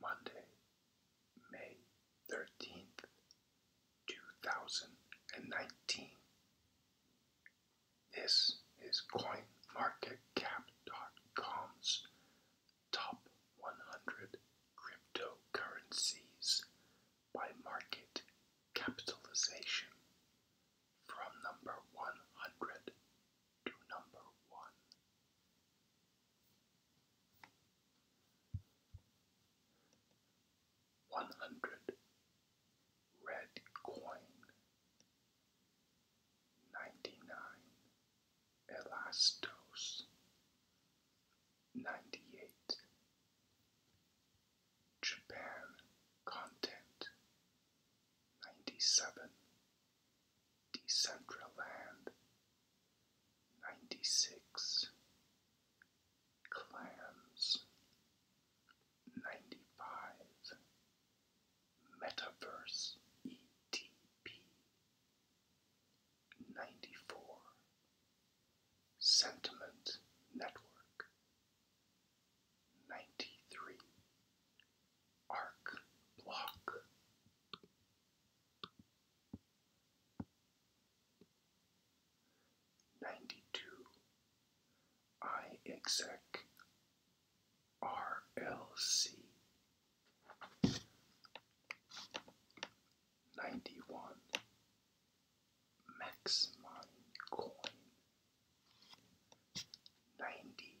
Monday, May 13th, 2019. This is CoinMarketCap.com's top 100 cryptocurrencies by market capitalization from number 100 to number one. One hundred red coin, ninety nine elastos, ninety eight Japan content, ninety seven Decentraland 96 Clams 95 Metaverse ETP 94 Sentiment Network 93 arc block. Ninety two I exec RLC ninety one Max Coin ninety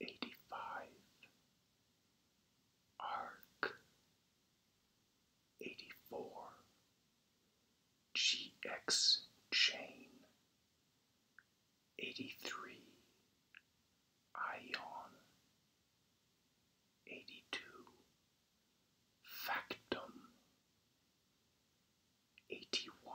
eighty five, ARC eighty four, GX chain eighty three, Ion eighty two, Factum eighty one.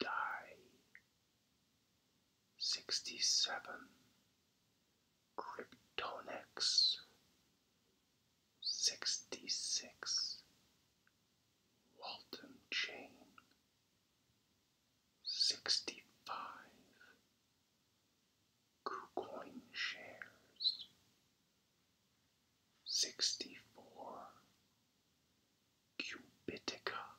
die. 67 Kryptonex 66 Walton Chain 65 KuCoin Shares 64 Cubitica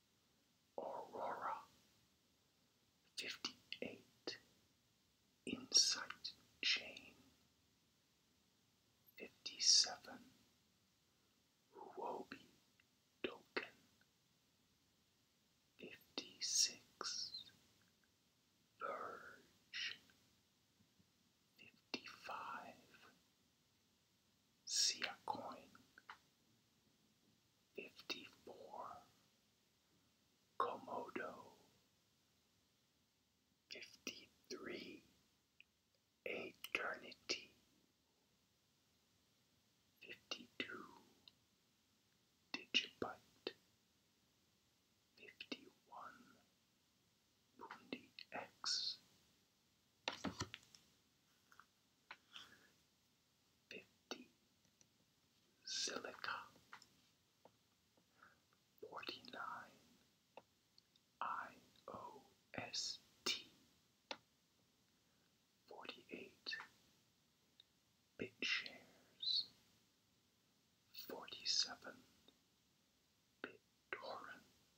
Aurora 58 Insight Chain 57 Huobi Token 56 Verge 55 Sia Coin fifty four, Komodo, fifty three, Eternity, fifty two, Digibyte, fifty one, Mundi X fifty silica, forty nine I O S T, forty eight bit shares, forty seven bit torrent.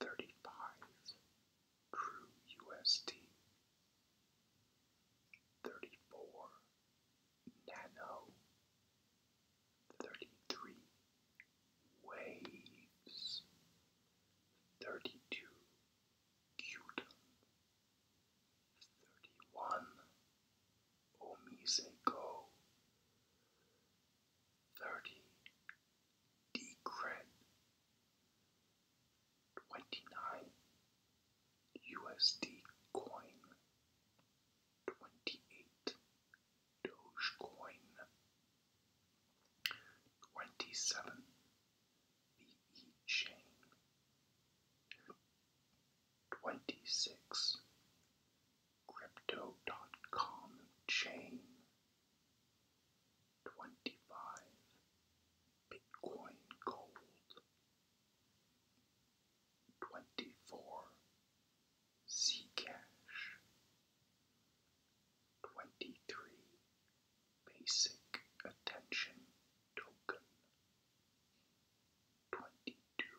thirty-five true USD, thirty-four nano, thirty-three waves, thirty-two Qtum, thirty-one Omise thirty decred twenty nine USD coin twenty eight Dogecoin twenty seven BE chain twenty six Crypto.com chain twenty-five Bitcoin gold, twenty-four Zcash, twenty-three Basic Attention Token, twenty-two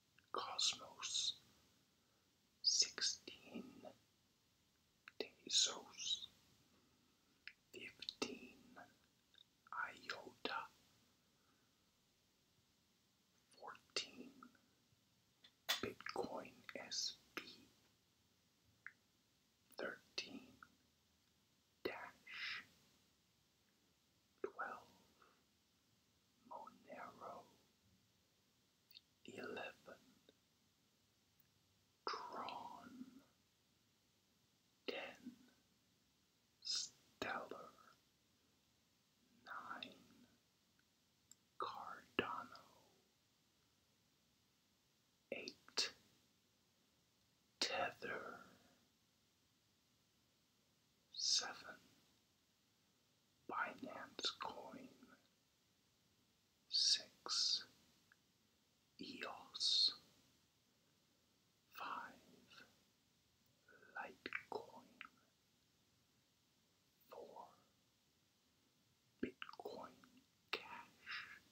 Cosmos, sixteen Tezos, fifteen Iota, fourteen Bitcoin SB, thirteen Dash, twelve Monero eleven, drawn, ten, stellar, nine, Cardano, eight, tether, seven. Binance Coin, six, EOS, five, Litecoin, four, Bitcoin Cash,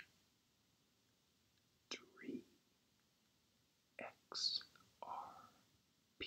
three, XRP.